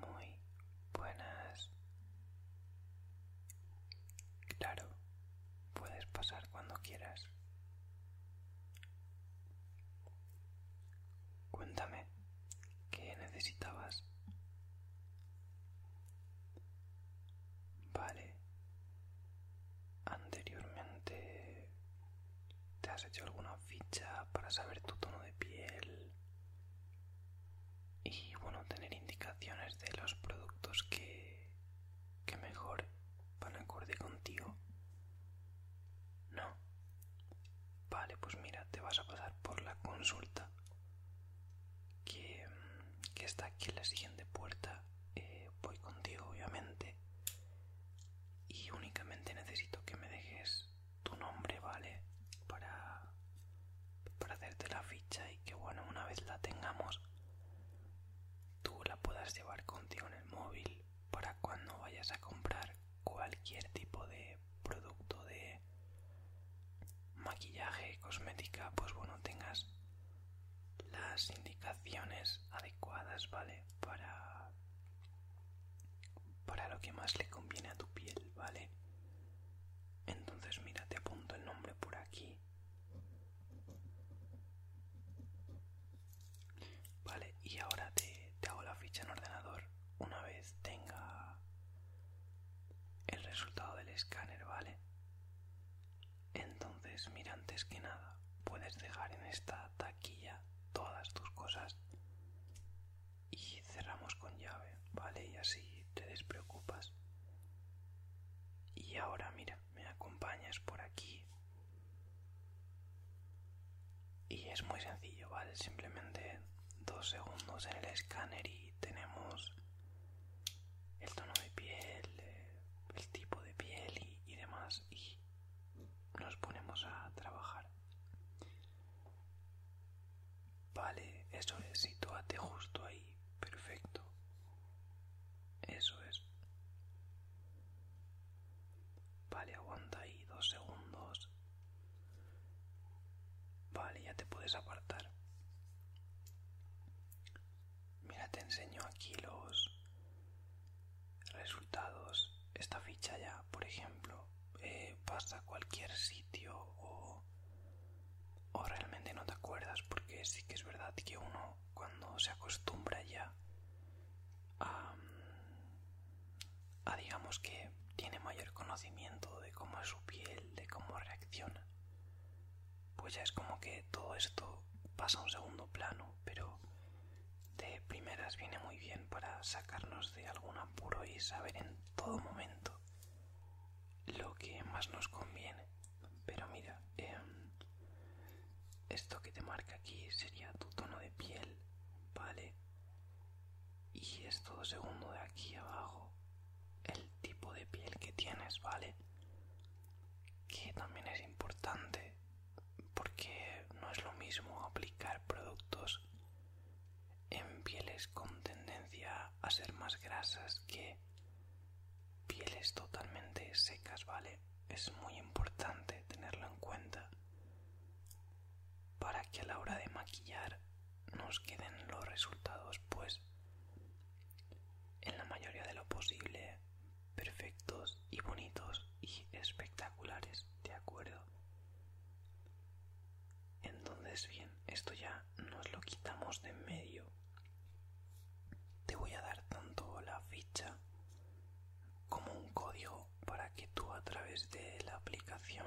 muy buenas. Claro, puedes pasar cuando quieras. Cuéntame, ¿qué necesitabas? Vale. Anteriormente, ¿te has hecho alguna ficha para saber tu tono de piel? y bueno tener indicaciones de los productos que, que mejor van acorde contigo no vale pues mira te vas a pasar por la consulta que, que está aquí en la siguiente puerta eh, voy contigo obviamente y únicamente necesito que me dejes tu nombre, ¿vale? Para, para hacerte la ficha y que, bueno, una vez la tengamos, tú la puedas llevar contigo en el móvil para cuando vayas a comprar cualquier tipo de producto de maquillaje, cosmética, pues bueno, tengas las indicaciones adecuadas, ¿vale? Para para lo que más le conviene a tu piel, ¿vale? Entonces mira, te apunto el nombre por aquí. Vale, y ahora te, hago la ficha en ordenador una vez tenga el resultado del escáner, ¿vale? Entonces, mira, antes que nada, puedes dejar en esta taquilla todas tus cosas y cerramos con llave, ¿vale? Y así te despreocupas. Y ahora mira, me acompañas por aquí. Y es muy sencillo, ¿vale? Simplemente dos segundos en el escáner y tenemos el tono de piel, eh, el tipo de piel y, y demás. Y nos ponemos a trabajar. Vale, eso es, sitúate justo ahí, perfecto. Eso es. Vale, aguanta ahí dos segundos. Vale, ya te puedes apartar. Mira, te enseño aquí los resultados. Esta ficha ya, por ejemplo, pasa eh, a cualquier sitio o, realmente no te acuerdas porque sí que es verdad que uno cuando se acostumbra ya a, digamos que tiene mayor conocimiento de cómo es su piel, de cómo reacciona, pues ya es como que todo esto pasa a un segundo plano, pero de primeras viene muy bien para sacarnos de algún apuro y saber todo momento lo que más nos conviene. Pero mira, em, esto que te marca aquí sería tu tono de piel, ¿vale? Y esto segundo de aquí abajo, el tipo de piel que tienes, ¿vale? Que también es importante porque no es lo mismo aplicar productos en pieles con tendencia a ser más grasas que pieles totalmente secas, ¿vale? Es muy importante tenerlo en cuenta para que a la hora de maquillar nos queden los resultados, pues en la mayoría de lo posible perfectos y bonitos y espectaculares, ¿de acuerdo? Entonces, bien, esto ya nos lo quitamos de en medio. Te voy a dar tanto la ficha como un código para que tú a través de la aplicación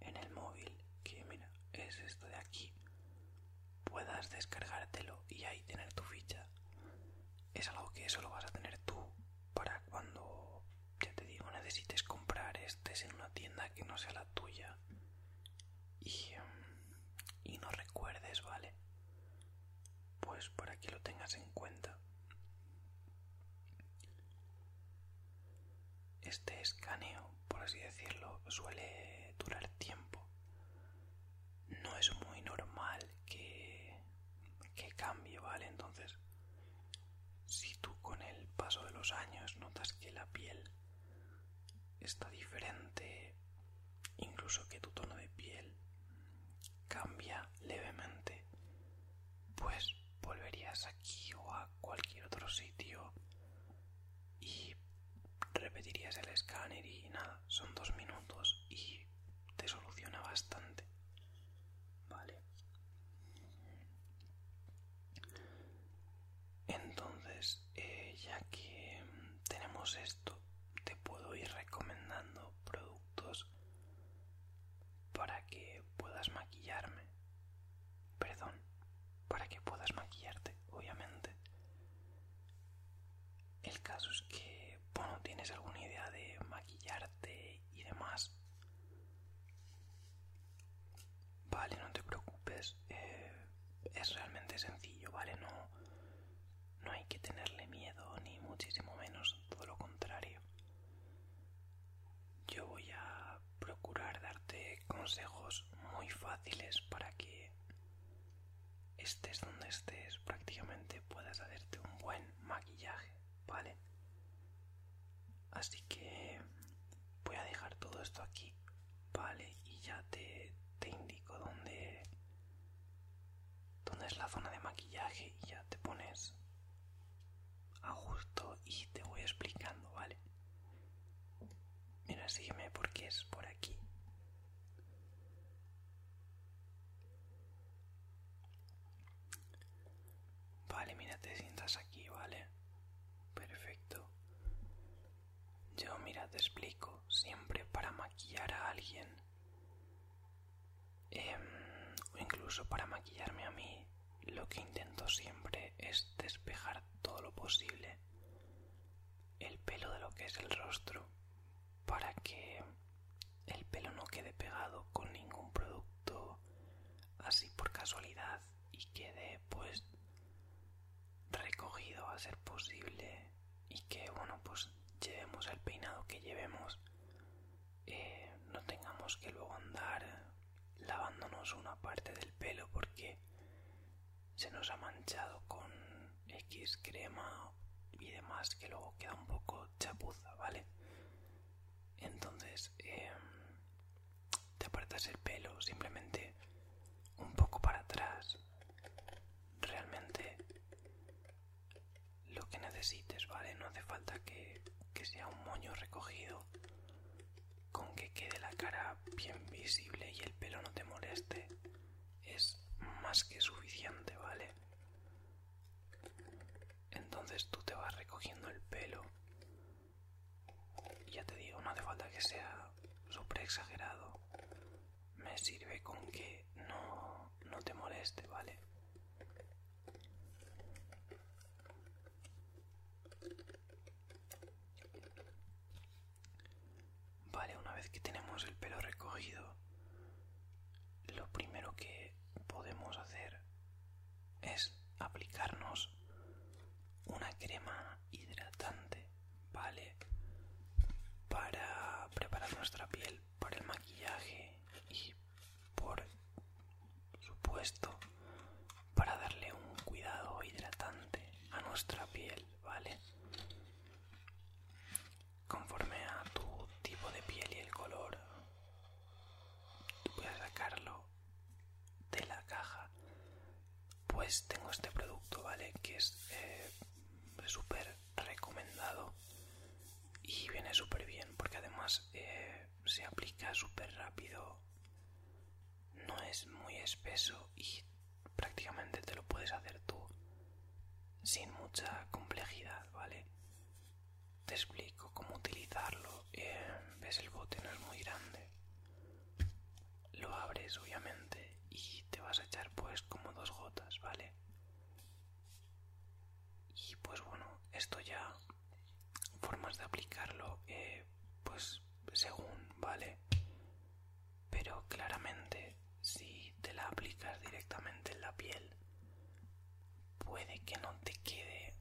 en el móvil, que mira, es esto de aquí, puedas descargártelo y ahí tener tu ficha. Es algo que solo vas a tener tú para cuando ya te digo, necesites comprar estés en una tienda que no sea la tuya. Y, mm, y no recuerdes, ¿vale? Pues por que lo tengas en cuenta. Este escaneo, por así decirlo, suele durar tiempo. No es muy normal que, que cambie, ¿vale? Entonces, si tú con el paso de los años notas que la piel está diferente, incluso que tu tono de piel cambia levemente, pues volverías aquí o a cualquier otro sitio y repetirías el escáner y nada, son dos minutos y te soluciona bastante. Vale. Entonces, eh, ya que tenemos esto, te puedo ir recomendando productos para que puedas maquillarme. Perdón, para que puedas maquillarte, obviamente. El caso es que, bueno, tienes alguna idea de maquillarte y demás. Vale, no te preocupes. Eh, es realmente sencillo, ¿vale? No, no hay que tenerle miedo, ni muchísimo menos, todo lo contrario. Yo voy a procurar darte consejos muy fáciles para que estés donde estés, prácticamente puedas hacerte un buen maquillaje. ¿vale? Así que voy a dejar todo esto aquí, ¿vale? Y ya te, te indico dónde, dónde es la zona de maquillaje y ya te pones a gusto y te voy explicando, ¿vale? Mira, sígueme porque es por aquí. Vale, mira, te sientas aquí, ¿vale? Perfecto. Yo, mira, te explico. Siempre para maquillar a alguien. Em, o incluso para maquillarme a mí, lo que intento siempre es despejar todo lo posible el pelo de lo que es el rostro para que el pelo no quede pegado con ningún producto así por casualidad y quede pues recogido a ser posible y que bueno pues llevemos el peinado que llevemos eh, no tengamos que luego andar lavándonos una parte del pelo porque se nos ha manchado con X crema y demás que luego queda un poco chapuza, ¿vale? Entonces, em, te apartas el pelo simplemente un poco para atrás realmente lo que necesites vale no hace falta que, que sea un moño recogido con que quede la cara bien visible y el pelo no te moleste es más que suficiente vale entonces tú te vas recogiendo el pelo ya te digo, no hace falta que sea súper exagerado. Me sirve con que no, no te moleste, ¿vale? Vale, una vez que tenemos el pelo recogido, lo primero que podemos hacer es aplicarnos una crema hidratante, ¿vale? Para preparar nuestra piel para el maquillaje y por supuesto para darle un cuidado hidratante a nuestra piel, ¿vale? Conforme a tu tipo de piel y el color, tú puedes sacarlo de la caja pues tengo este producto vale que es eh, súper recomendado y viene súper bien porque además eh, se aplica súper rápido no es muy espeso y prácticamente te lo puedes hacer tú sin mucha complejidad vale te explico cómo utilizarlo. Eh, ves el bote no es muy grande. Lo abres obviamente y te vas a echar pues como dos gotas, ¿vale? Y pues bueno, esto ya formas de aplicarlo eh, pues según, ¿vale? Pero claramente si te la aplicas directamente en la piel puede que no te quede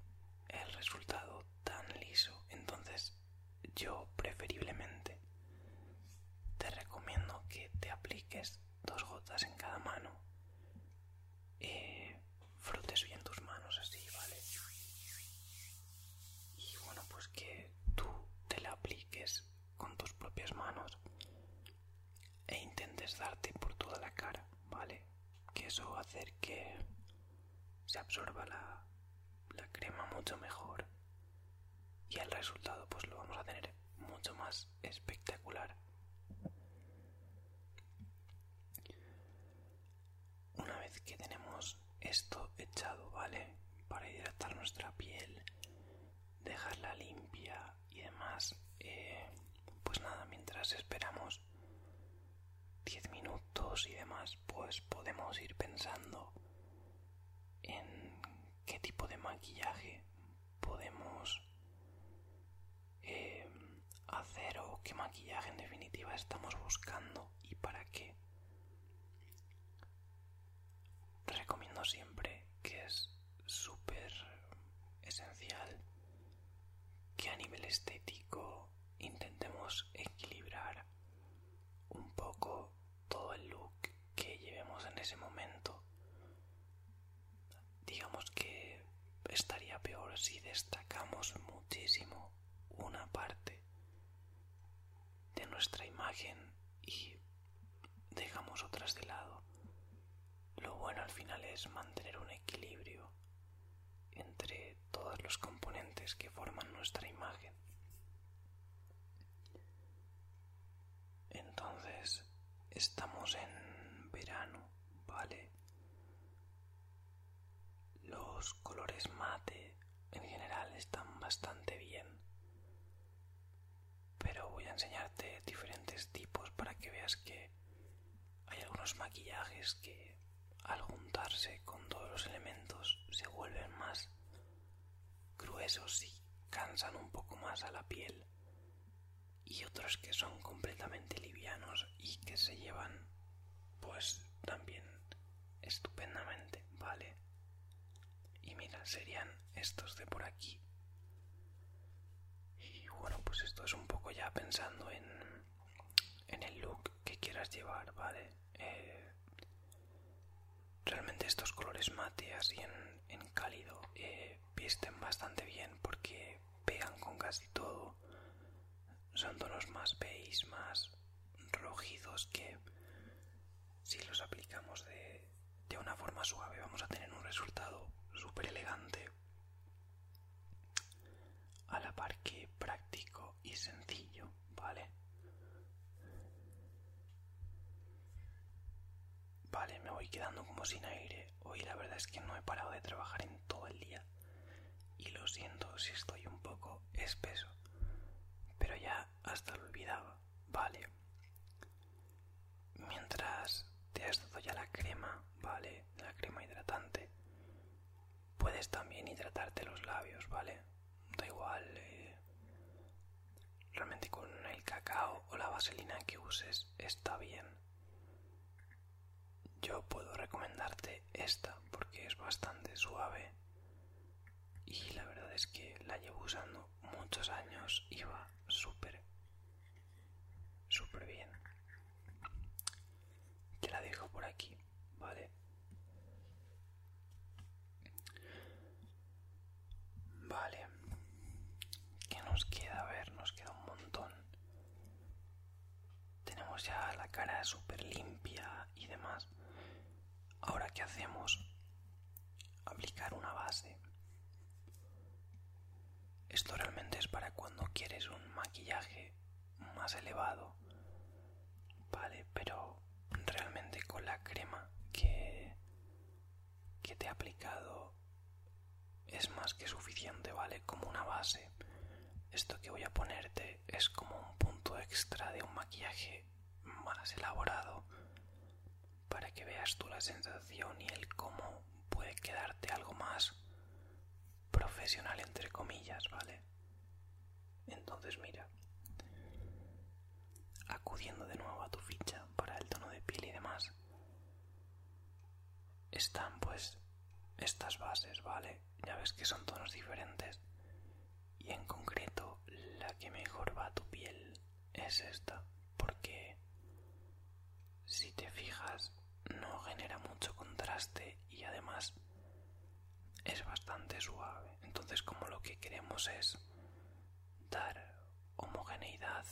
el resultado tan liso. Entonces yo preferiblemente te recomiendo que te apliques dos gotas en cada mano. y eh, frutes bien tus manos así, ¿vale? Y bueno, pues que tú te la apliques con tus propias manos e intentes darte por toda la cara, ¿vale? Que eso va a hacer que se absorba la, crema mucho mejor y el resultado pues lo vamos a tener mucho más espectacular una vez que tenemos esto echado vale para hidratar nuestra piel dejarla limpia y demás eh, pues nada mientras esperamos 10 minutos y demás, pues podemos ir pensando en qué tipo de maquillaje podemos eh, hacer o qué maquillaje en definitiva estamos buscando y para qué. Recomiendo siempre que es súper esencial que a nivel estético intentemos equilibrar un poco todo el look que llevemos en ese momento. Digamos que estaría peor si destacamos muchísimo una parte de nuestra imagen y dejamos otras de lado. Lo bueno al final es mantener un equilibrio entre todos los componentes que forman nuestra imagen. Entonces, estamos en verano, ¿vale? Los colores mate en general están bastante bien, pero voy a enseñarte diferentes tipos para que veas que hay algunos maquillajes que al juntarse con todos los elementos se vuelven más gruesos y cansan un poco más a la piel y otros que son completamente livianos y que se llevan pues también estupendamente, ¿vale? Y mira, serían estos de por aquí. Y bueno, pues esto es un poco ya pensando en el look que quieras llevar, ¿vale? Eh, realmente estos colores mate así en, cálido eh, visten bastante bien porque pegan con casi todo. Son tonos más beige, más rojizos que si los aplicamos de, de una forma suave vamos a tener un resultado súper elegante a la par que práctico y sencillo, ¿vale? Vale, me voy quedando como sin aire. Hoy la verdad es que no he parado de trabajar en todo el día. Y lo siento si estoy un poco espeso. Pero ya hasta lo olvidaba. Vale. Mientras te has dado ya la crema, ¿vale? La crema hidratante puedes también hidratarte los labios, ¿vale? Da igual. Eh, realmente con el cacao o la vaselina que uses está bien. Yo puedo recomendarte esta porque es bastante suave y la verdad es que la llevo usando muchos años y va súper, súper bien. Que la dejo por aquí, ¿vale? Vale. ¿Qué nos queda? A ver, nos queda un montón. Tenemos ya la cara súper limpia y demás. Ahora, ¿qué hacemos? Aplicar una base. Esto realmente es para cuando quieres un maquillaje más elevado, vale, pero realmente con la crema que, que te he aplicado es más que suficiente, vale, como una base. Esto que voy a ponerte es como un punto extra de un maquillaje más elaborado para que veas tú la sensación y el cómo puede quedarte algo más profesional entre comillas, ¿vale? Entonces mira, acudiendo de nuevo a tu ficha para el tono de piel y demás, están pues estas bases, ¿vale? Ya ves que son tonos diferentes y en concreto la que mejor va a tu piel es esta porque si te fijas no genera mucho contraste y además es bastante suave. Entonces como lo que queremos es dar homogeneidad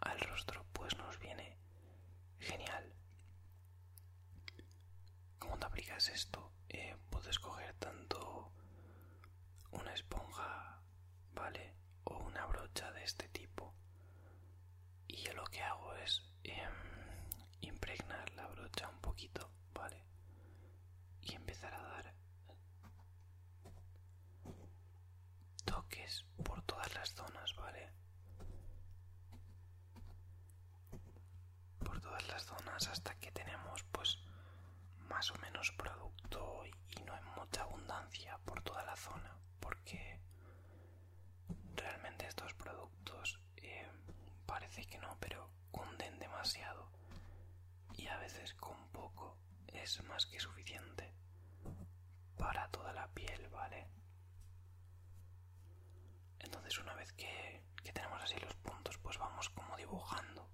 al rostro, pues nos viene genial. ¿Cómo te aplicas esto, eh, puedes coger tanto una esponja, ¿vale? O una brocha de este tipo y yo lo que hago es em, impregnar la brocha un poquito, ¿vale? Y empezar a dar toques por todas las zonas, ¿vale? Por todas las zonas hasta que tenemos pues más o menos producto y no hay mucha abundancia por toda la zona, porque realmente estos productos eh, parece que no, pero cunden demasiado y a veces con poco es más que suficiente para toda la piel, ¿vale? Entonces una vez que tenemos así los puntos, pues vamos como dibujando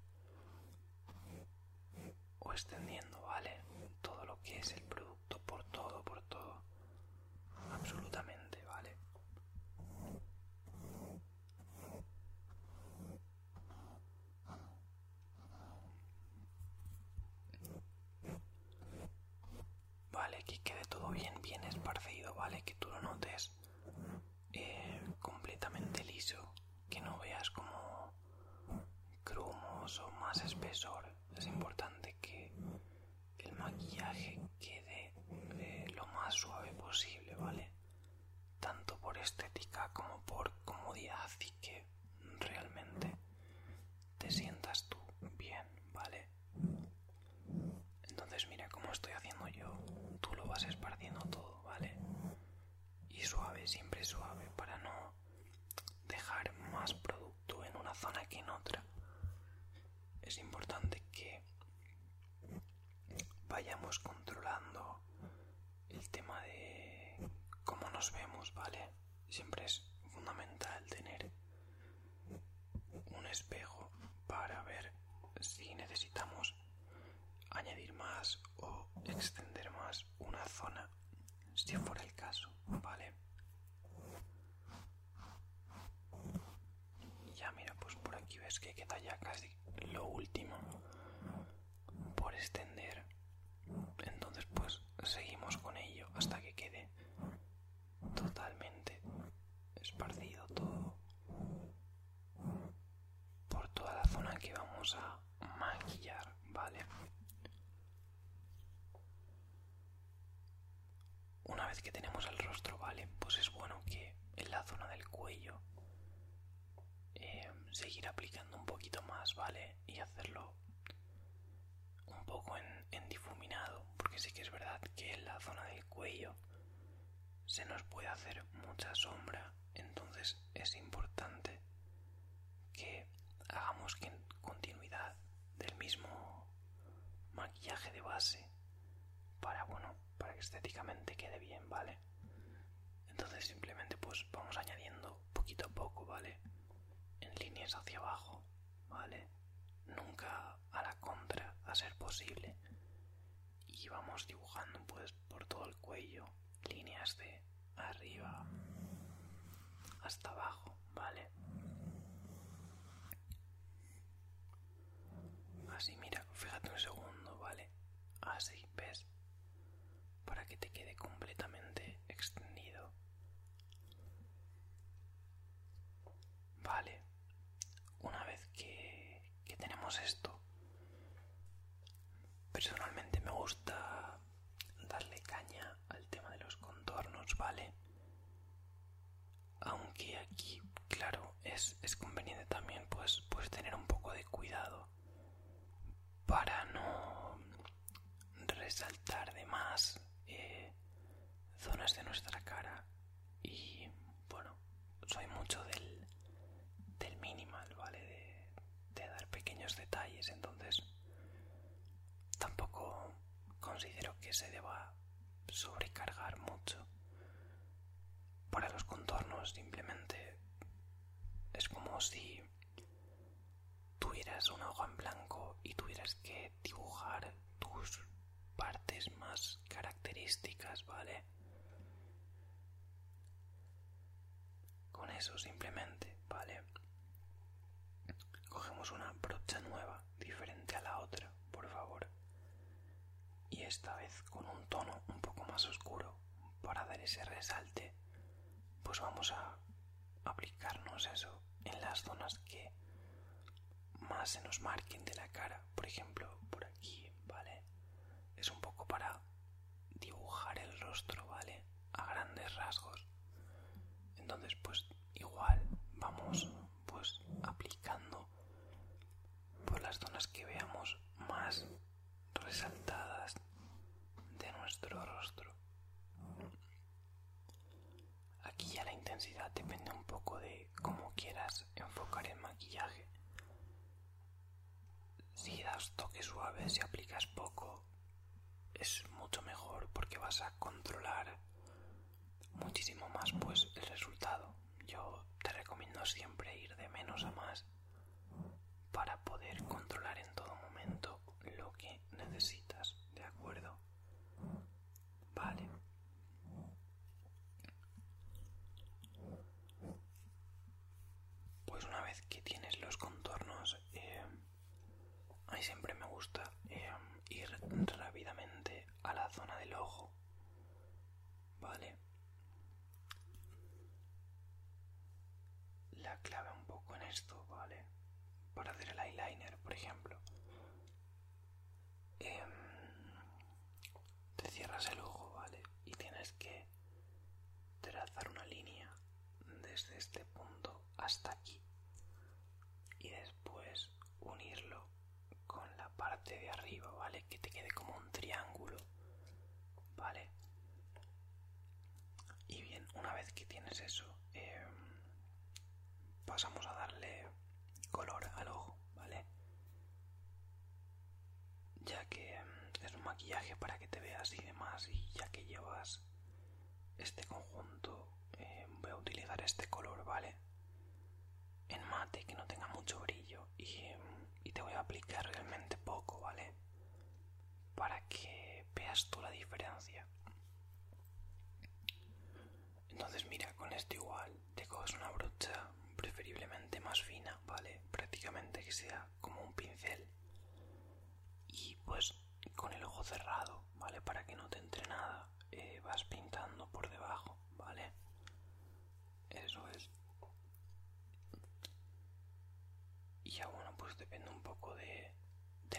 o extendiendo, ¿vale? Todo lo que es el producto por todo, por todo absolutamente, ¿vale? Vale, que quede todo bien, bien esparcido, ¿vale? Que tú lo notes eh, completamente liso, que no veas como crumoso, o más espesor. Es importante que el maquillaje quede lo más suave posible, ¿vale? Tanto por estética como por comodidad y que realmente te sientas tú bien, ¿vale? Entonces mira cómo estoy haciendo yo, tú lo vas esparciendo todo, ¿vale? Y suave, siempre suave, para no dejar más producto tú en una zona que en otra. Es importante que vayamos controlando el tema de cómo nos vemos, ¿vale? Siempre es fundamental tener un espejo para ver si necesitamos añadir más o extender más una zona, si fuera el caso, ¿vale? Ya mira, pues por aquí ves que queda ya casi lo último por extender. Entonces pues seguimos con ello hasta que quede totalmente esparcido todo por toda la zona que vamos a maquillar, ¿vale? Una vez que tenemos el rostro, vale, pues es bueno que en la zona del cuello em, seguir aplicando un poquito más, vale, y hacerlo un poco en, difuminado, porque sí que es verdad que en la zona del cuello se nos puede hacer mucha sombra, entonces es importante que hagamos continuidad del mismo maquillaje de base para bueno para que estéticamente quede bien vale entonces simplemente pues vamos añadiendo poquito a poco vale en líneas hacia abajo vale nunca a la contra a ser posible y vamos dibujando pues por todo el cuello líneas de arriba hasta abajo vale Así, mira, fíjate un segundo, ¿vale? Así, ¿ves? Para que te quede completamente extendido. Vale. Una vez que, que tenemos esto, personalmente me gusta darle caña al tema de los contornos, ¿vale? aunque aquí claro es, es conveniente también pues, pues tener un poco de cuidado para no resaltar de más eh, zonas de nuestra cara y bueno soy mucho del, del minimal vale de, de dar pequeños detalles entonces tampoco considero que se deba sobrecargar mucho. Para los contornos simplemente es como si tuvieras un hoja en blanco y tuvieras que dibujar tus partes más características, ¿vale? Con eso simplemente, ¿vale? Cogemos una brocha nueva diferente a la otra, por favor. Y esta vez con un tono un poco más oscuro para dar ese resalte, pues vamos a aplicarnos eso en las zonas que más se nos marquen de la cara. Por ejemplo, por aquí, ¿vale? Es un poco para dibujar el rostro, ¿vale? A grandes rasgos. Entonces, pues igual vamos pues aplicando por las zonas que veamos más resaltadas de nuestro rostro. Aquí ya la intensidad depende un poco de cómo quieras enfocar el maquillaje. Si das toque suave, si aplicas poco, es mucho mejor porque vas a controlar muchísimo más pues el resultado yo te recomiendo siempre ir de menos a más para poder controlar en todo momento lo que necesitas de acuerdo vale pues una vez que tienes los contornos eh, a mí siempre me gusta eh, ir rápidamente a la zona del ojo. ¿Vale? La clave un poco en esto, ¿vale? Para hacer el eyeliner, por ejemplo. Em, te cierras el ojo, ¿vale? Y tienes que trazar una línea desde este punto hasta aquí. Y después unirlo con la parte de arriba, ¿vale? Que te quede como un triángulo, ¿vale? Y bien, una vez que tienes eso, em, pasamos a darle color al ojo, ¿vale? Ya que em, es un maquillaje para que te veas y demás, y ya que llevas este conjunto eh, voy a utilizar este color, ¿vale? En mate, que no tenga mucho brillo y, te voy a aplicar realmente poco, ¿vale? Para que veas tú la diferencia. Entonces mira, con esto igual te coges una brocha preferiblemente más fina, ¿vale? Prácticamente que sea como un pincel. Y pues con el ojo cerrado, ¿vale? Para que no te entre nada eh, vas pintando por debajo, ¿vale? Eso es. Y ya bueno, pues depende un poco de,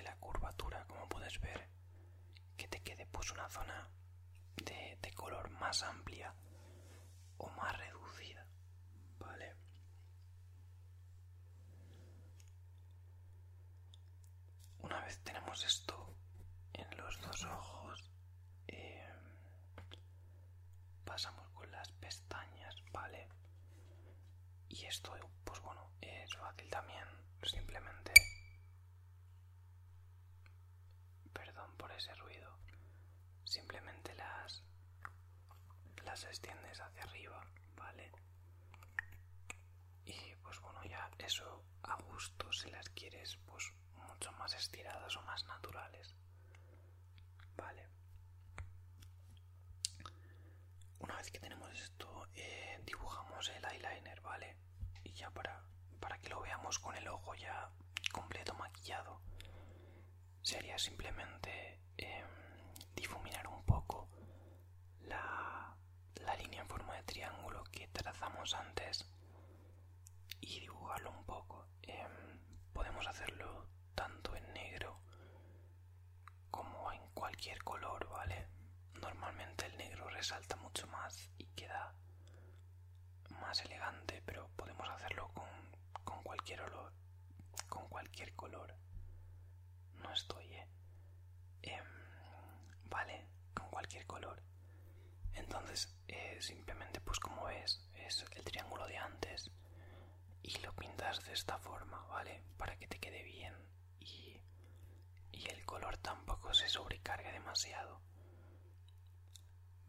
la curvatura, como puedes ver, que te quede pues una zona de, de color más amplia o más reducida, ¿vale? una vez tenemos esto en los dos ojos, em, pasamos con las pestañas, ¿vale? Y esto, pues bueno, es fácil también, simplemente... Perdón por ese ruido. Simplemente las... las extiendes hacia arriba, ¿vale? y pues bueno ya eso a gusto si las quieres pues mucho más estiradas o más naturales vale una vez que tenemos esto eh, dibujamos el eyeliner vale y ya para para que lo veamos con el ojo ya completo maquillado sería simplemente em, difuminar un poco la la línea en forma de triángulo que trazamos antes y dibujarlo un poco. Em, podemos hacerlo tanto en negro como en cualquier color, ¿vale? Normalmente el negro resalta mucho más y queda más elegante, pero podemos hacerlo con, con cualquier color con cualquier color. No estoy, ¿eh? em, vale, con cualquier color entonces eh, simplemente pues como ves es el triángulo de antes y lo pintas de esta forma vale para que te quede bien y, el color tampoco se sobrecargue demasiado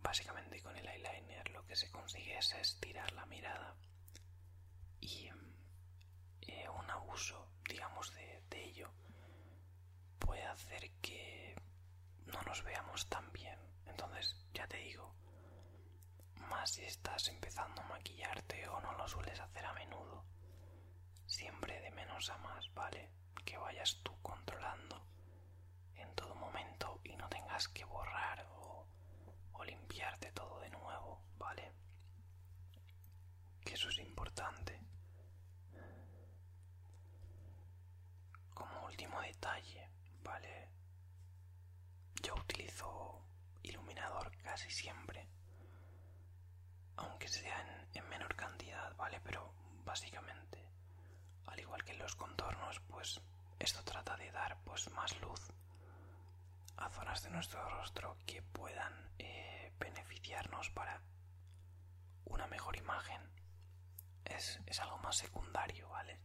básicamente con el eyeliner lo que se consigue es estirar la mirada y eh, un abuso digamos de ello puede hacer que no nos veamos tan bien. Entonces, ya te digo, más si estás empezando a maquillarte o no lo sueles hacer a menudo, siempre de menos a más, ¿vale? Que vayas tú controlando en todo momento y no tengas que borrar o, limpiarte todo de nuevo, ¿vale? que eso es importante. Como último detalle, ¿vale? Yo utilizo iluminador casi siempre, aunque sea en, menor cantidad, ¿vale? Pero básicamente, al igual que los contornos, pues esto trata de dar pues más luz a zonas de nuestro rostro que puedan eh, beneficiarnos para una mejor imagen. Es, algo más secundario, ¿vale?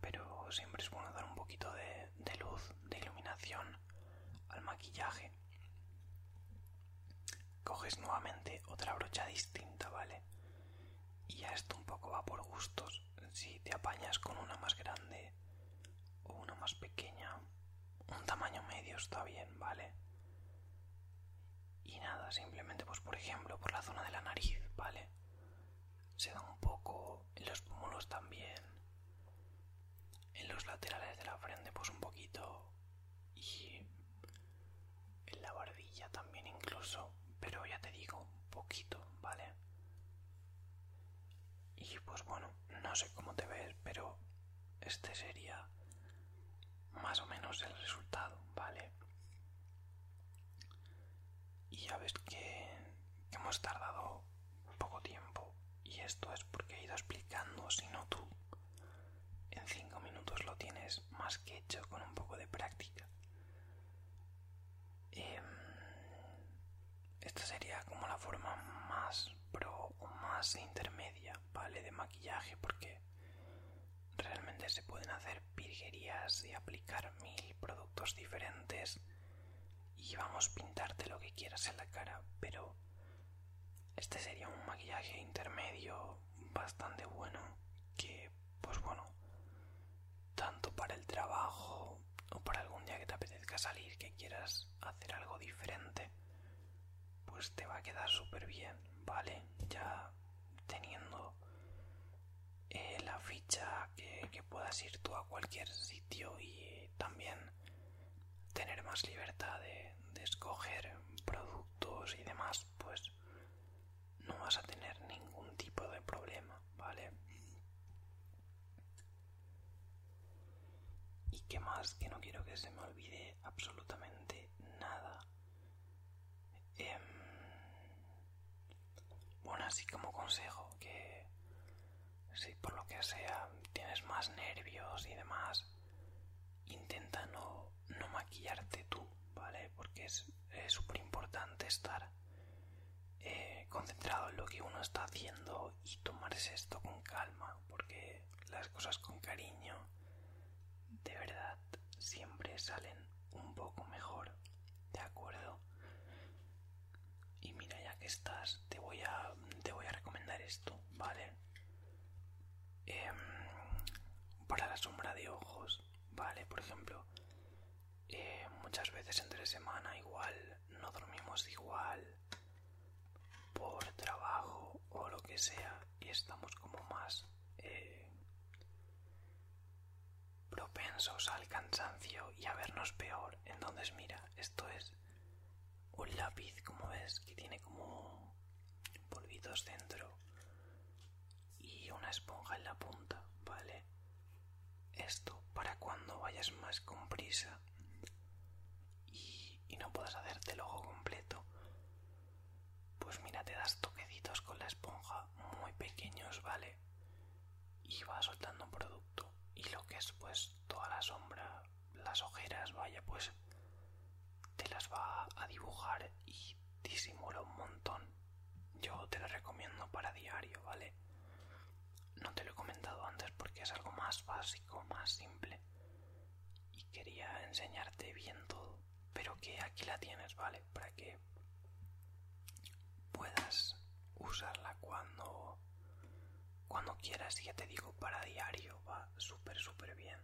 Pero siempre es bueno dar un poquito de, luz, de iluminación al maquillaje. Coges nuevamente otra brocha distinta, ¿vale? Y ya esto un poco va por gustos. Si te apañas con una más grande o una más pequeña, un tamaño medio está bien, ¿vale? Y nada, simplemente pues por ejemplo por la zona de la nariz, ¿vale? Se da un poco en los pómulos también. En los laterales de la frente pues un poquito. Y en la barbilla también incluso. Pero ya te digo, un poquito, ¿vale? Y pues bueno, no sé cómo te ves, pero este sería más o menos el resultado, ¿vale? Y ya ves que hemos tardado poco tiempo y esto es porque he ido explicando, si no tú en cinco minutos lo tienes más que hecho con un poco de práctica. Em, esta sería como la forma más pro o más intermedia vale de maquillaje porque realmente se pueden hacer virguerías y aplicar mil productos diferentes y vamos a pintarte lo que quieras en la cara pero este sería un maquillaje intermedio bastante bueno que pues bueno tanto para el trabajo o para algún día que te apetezca salir que quieras hacer algo diferente pues te va a quedar súper bien, ¿vale? Ya teniendo eh, la ficha que, puedas ir tú a cualquier sitio y también tener más libertad de, de escoger productos y demás, pues no vas a tener ningún tipo de problema, ¿vale? ¿Y qué más? Que no quiero que se me olvide absolutamente nada. Em, bueno, así como consejo, que si por lo que sea tienes más nervios y demás, intenta no, no maquillarte tú, ¿vale? Porque es súper importante estar eh, concentrado en lo que uno está haciendo y tomarse esto con calma, porque las cosas con cariño de verdad siempre salen un poco mejor, ¿de acuerdo? Y mira, ya que estás, te voy a, te voy a recomendar esto, ¿vale? Em, para la sombra de ojos, ¿vale? Por ejemplo, eh, muchas veces entre semana igual no dormimos igual, por trabajo o lo que sea y estamos como más eh, propensos al cansancio y a vernos peor. Entonces mira, esto es un lápiz, como ves, que tiene como polvitos dentro y una esponja en la punta, ¿vale? Esto para cuando vayas más con prisa y no puedas hacerte el ojo completo pues mira, te das toquecitos con la esponja muy pequeños, ¿vale? Y va soltando un producto. Y lo que es, pues, toda la sombra, las ojeras, vaya, pues te las va a dibujar y disimula un montón. Yo te lo recomiendo para diario, ¿vale? No te lo he comentado antes porque es algo más básico, más simple y quería enseñarte bien todo, pero que aquí la tienes, ¿vale? Para que puedas usarla cuando cuando quieras, ya te digo, para diario va súper, súper bien.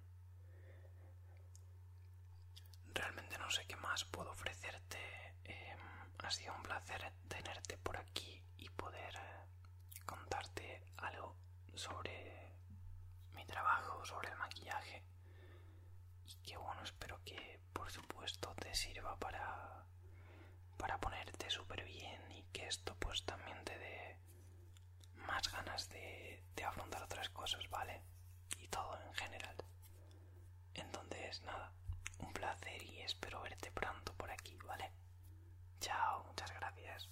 Realmente no sé qué más puedo ofrecerte. Em, ha sido un placer tenerte por aquí y poder eh, contarte algo sobre mi trabajo, sobre el maquillaje. Y que bueno, espero que por supuesto te sirva para, para ponerte súper bien y que esto pues también te dé más ganas de, de afrontar otras cosas, ¿vale? Y todo en general. Entonces, nada, un placer y espero verte pronto por aquí, ¿vale? Chao, muchas gracias.